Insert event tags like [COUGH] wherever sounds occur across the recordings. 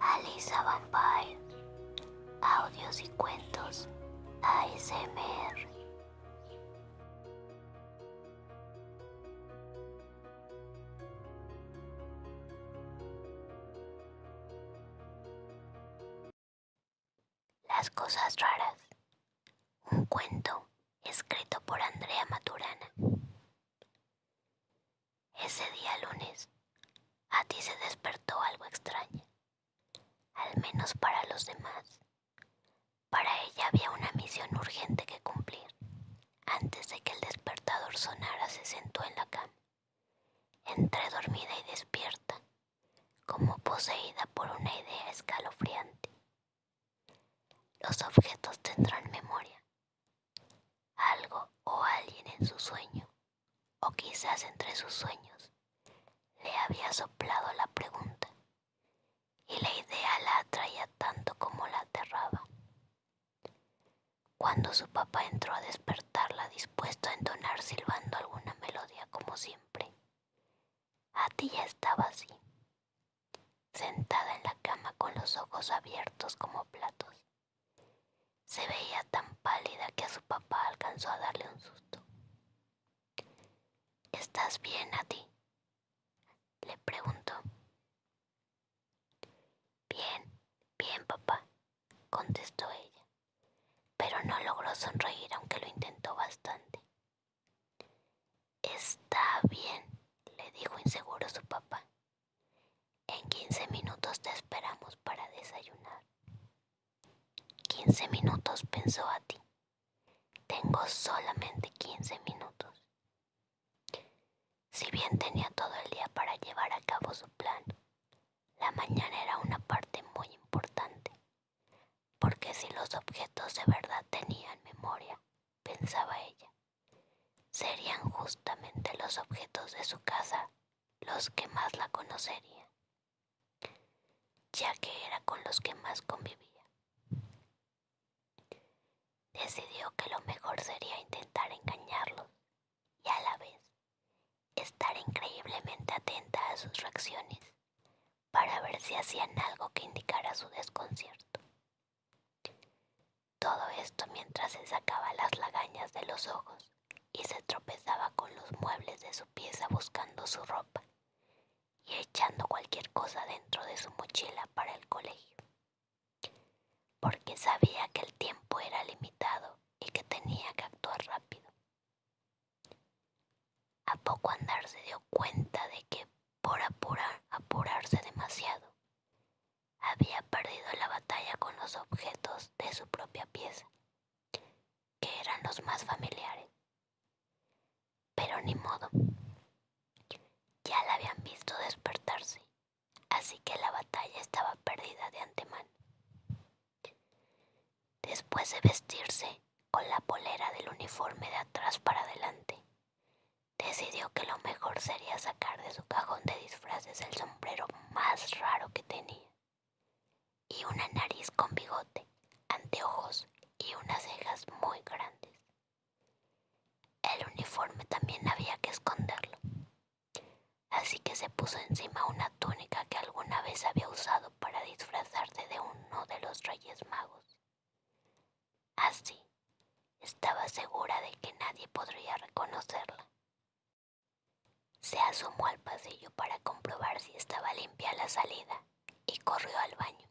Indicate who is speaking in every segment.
Speaker 1: Alisa Vampire. Audios y cuentos ASMR. Las cosas raras. Un cuento escrito por Andrea Maturana. Ese día lunes, a ti se despertó algo extraño, al menos para los demás. Para ella había una misión urgente que cumplir. Antes de que el despertador sonara, se sentó en la cama, entre dormida y despierta, como poseída por una idea escalofriante. Los objetos tendrán memoria, algo o alguien en su sueño, o quizás entre sus sueños, le había soplado la pregunta, y la idea la atraía tanto como la aterraba. Cuando su papá entró a despertarla dispuesto a entonar silbando alguna melodía como siempre, ti ya estaba así, sentada en la cama con los ojos abiertos como platos. Se veía tan pálida que a su papá alcanzó a darle un susto. ¿Estás bien, a ti? Le preguntó. Bien, bien, papá, contestó ella, pero no logró sonreír aunque lo intentó bastante. Está bien, le dijo inseguro su papá. En quince minutos te esperamos para desayunar. Quince minutos, pensó a ti. Tengo solamente quince minutos. Si bien tenía todo el día para llevar a cabo su plan, la mañana era una parte muy importante, porque si los objetos de verdad tenían memoria, pensaba ella, serían justamente los objetos de su casa los que más la conocerían, ya que era con los que más convivía. Decidió que lo mejor sería intentar engañarlos y a la vez estar increíblemente atenta a sus reacciones para ver si hacían algo que indicara su desconcierto. Todo esto mientras se sacaba las lagañas de los ojos y se tropezaba con los muebles de su pieza buscando su ropa y echando cualquier cosa dentro de su mochila para el colegio. Porque sabía que el tiempo era limitado y que tenía que actuar rápido. A poco andar se dio cuenta de que por apurar, apurarse demasiado, había perdido la batalla con los objetos de su propia pieza, que eran los más familiares. Pero ni modo, ya la habían visto despertarse, así que la batalla estaba perdida de antemano. Después de vestirse con la polera del uniforme de atrás para adelante, decidió que lo mejor sería sacar de su cajón de disfraces el sombrero más raro que tenía, y una nariz con bigote, anteojos y unas cejas muy grandes. El uniforme también había que esconderlo, así que se puso encima una túnica que alguna vez había usado para disfrazarse de uno de los Reyes Magos. Así, estaba segura de que nadie podría reconocerla. Se asomó al pasillo para comprobar si estaba limpia la salida y corrió al baño.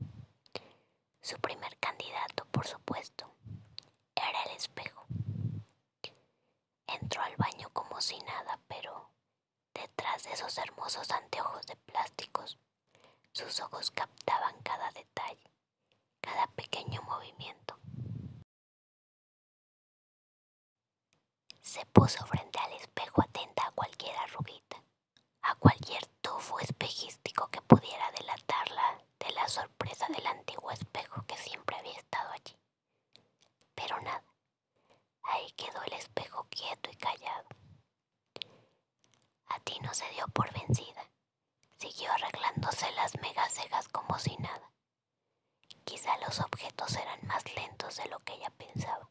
Speaker 1: Su primer candidato, por supuesto, era el espejo. Entró al baño como si nada, pero detrás de esos hermosos anteojos de plásticos, sus ojos captaban cada detalle cada pequeño movimiento. Se puso frente al espejo atenta a cualquier arruguita, a cualquier tufo espejístico que pudiera delatarla de la sorpresa del antiguo espejo que siempre había estado allí. Pero nada, ahí quedó el espejo quieto y callado, a ti no se dio por vencida. Siguió arreglándose las mega cejas como si nada. Quizá los objetos eran más lentos de lo que ella pensaba.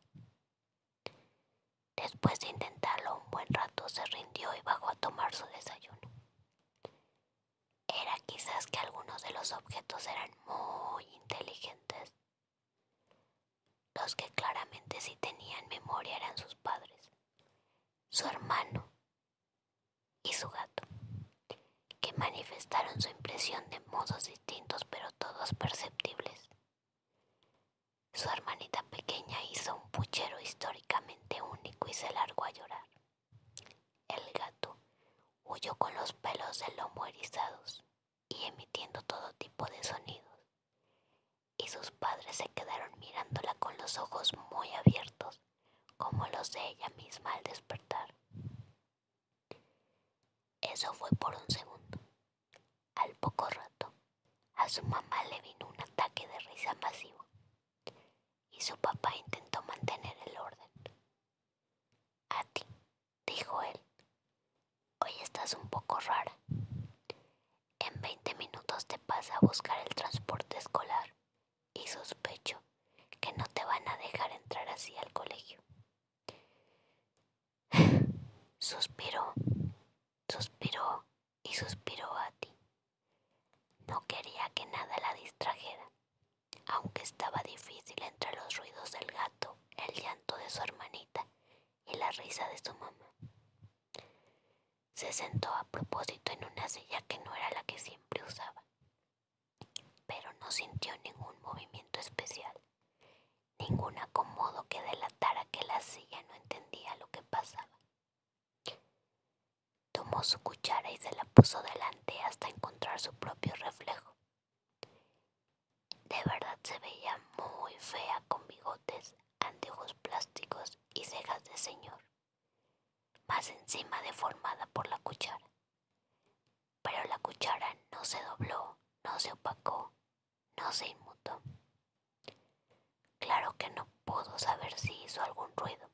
Speaker 1: Después de intentarlo un buen rato, se rindió y bajó a tomar su desayuno. Era quizás que algunos de los objetos eran muy inteligentes. Los que claramente sí tenían memoria eran sus padres, su hermano y su gato, que manifestaron su impresión de modos distintos pero todos perceptibles. Su hermanita pequeña hizo un puchero históricamente único y se largó a llorar. El gato huyó con los pelos del lomo erizados y emitiendo todo tipo de sonidos, y sus padres se quedaron mirándola con los ojos muy abiertos, como los de ella misma al despertar. Eso fue por un segundo. Al poco rato, a su mamá le vino un ataque de risa masivo y su papá intentó mantener el orden. A ti, dijo él, hoy estás un poco rara. En veinte minutos te pasa a buscar el transporte escolar y sospecho que no te van a dejar entrar así al colegio. Suspiró, [SIGHS] suspiró y suspiró a ti. No quería que nada la distrajera, aunque estaba difícil entre los ruidos del gato, el llanto de su hermanita y la risa de su mamá. Se sentó a propósito en una silla que no era la que siempre usaba, pero no sintió ningún movimiento especial, ningún acomodo que delatara que la silla no entendía lo que pasaba. Tomó su cuchara y se la puso delante hasta encontrar su propio reflejo. De verdad se veía muy fea con bigotes antiguos plásticos y cejas de señor, más encima deformada por la cuchara. Pero la cuchara no se dobló, no se opacó, no se inmutó. Claro que no pudo saber si hizo algún ruido,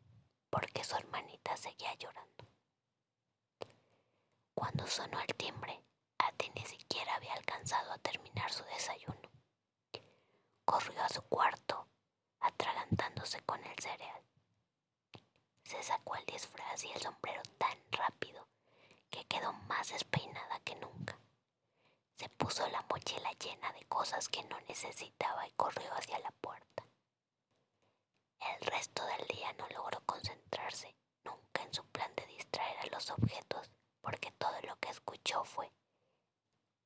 Speaker 1: porque su hermanita seguía llorando. Cuando sonó el timbre, Ate ni siquiera había alcanzado a terminar su desayuno. Corrió a su cuarto, atragantándose con el cereal. Se sacó el disfraz y el sombrero tan rápido que quedó más despeinada que nunca. Se puso la mochila llena de cosas que no necesitaba y corrió hacia la puerta. El resto del día no logró concentrarse nunca en su plan de distraer a los objetos, porque todo lo que escuchó fue,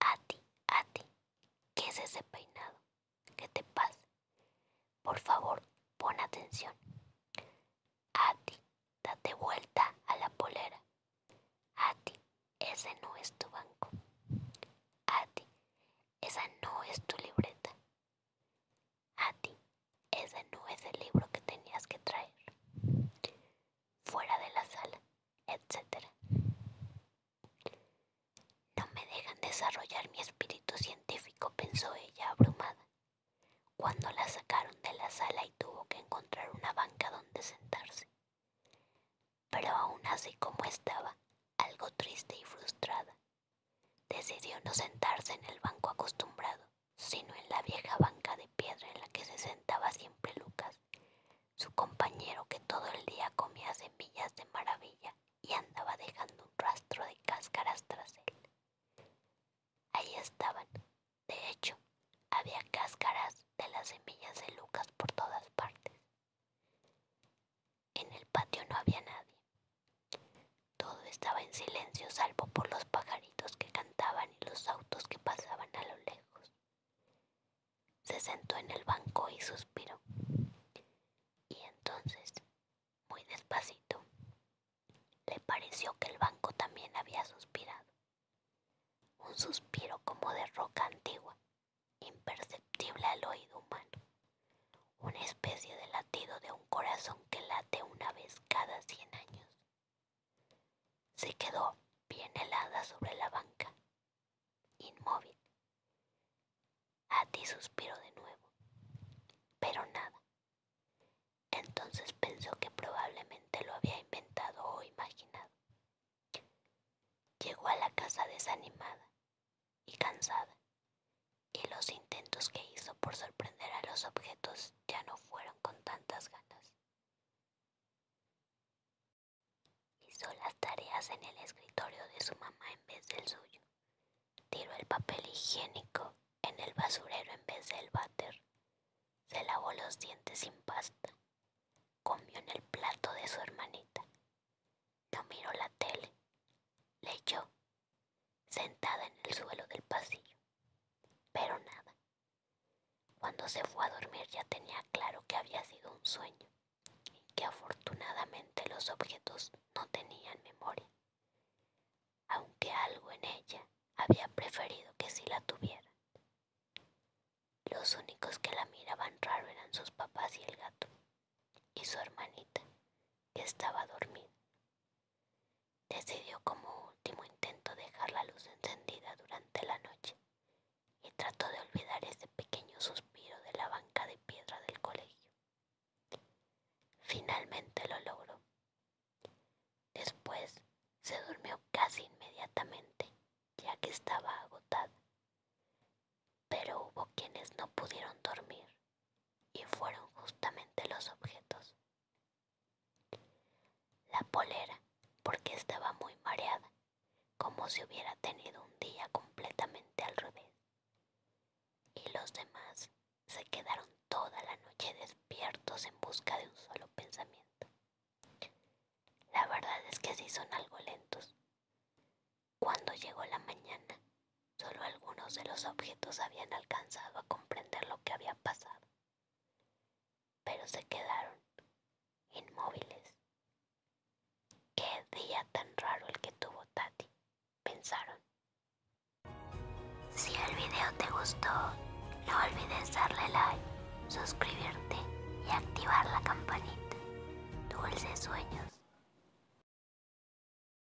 Speaker 1: A ti, a ti, ¿qué es ese peinado? ¿Qué te pasa? Por favor, pon atención. A ti, date vuelta a la polera. A ti, ese no es tu banco. A ti, esa no es tu libreta. A ti... Ese no es el libro que tenías que traer. Fuera de la sala, etc. No me dejan desarrollar mi espíritu científico, pensó ella abrumada, cuando la sacaron de la sala y tuvo que encontrar una banca donde sentarse. Pero aún así como estaba, algo triste y frustrada, decidió no sentarse en el banco acostumbrado sino en la vieja banca de piedra en la que se sentaba siempre Lucas, su compañero que todo el día comía semillas de maravilla y andaba dejando un rastro de cáscaras tras él. Ahí estaban, de hecho, había cáscaras de las semillas de Lucas por todas partes. En el patio no había nadie. Todo estaba en silencio salvo por los pajaritos que cantaban y los autos que pasaban a lo lejos. Se sentó en el banco y suspiró. Y entonces, muy despacito, le pareció que el banco también había suspirado. Un suspiro como de roca antigua, imperceptible al oído humano. Una especie de latido de un corazón que late una vez cada cien años. Se quedó bien helada sobre la banca, inmóvil. ti suspiró de nuevo, pero nada. Entonces pensó que probablemente lo había inventado o imaginado. Llegó a la casa desanimada y cansada, y los intentos que hizo por sorprender a los objetos ya no fueron con tantas ganas. Hizo las tareas en el escritorio de su mamá en vez del suyo. Tiró el papel higiénico en el basurero en vez del váter. Se lavó los dientes sin pasta. Comió en el plato de su hermanita. No miró la tele. Leyó sentada en el suelo del pasillo. Pero nada. Cuando se fue a dormir ya tenía claro que había sido un sueño y que afortunadamente los objetos no tenían memoria, aunque algo en ella había preferido que sí la tuviera. Los únicos que la miraban raro eran sus papás y el gato, y su hermanita, que estaba dormida. Decidió como último intento dejar la luz encendida durante la noche y trató de olvidar ese pequeño suspiro de la banca de piedra del colegio. Finalmente lo logró. Después se durmió casi inmediatamente, ya que estaba agotada. Pero hubo quienes no pudieron dormir y fueron justamente los objetos. La polera, porque estaba muy mareada, como si hubiera tenido un día completamente al revés. Y los demás se quedaron toda la noche despiertos en busca de un solo pensamiento. La verdad es que sí son algo lentos. Cuando llegó la mañana, Solo algunos de los objetos habían alcanzado a comprender lo que había pasado, pero se quedaron inmóviles. Qué día tan raro el que tuvo Tati, pensaron. Si el video te gustó, no olvides darle like, suscribirte y activar la campanita. Dulces sueños.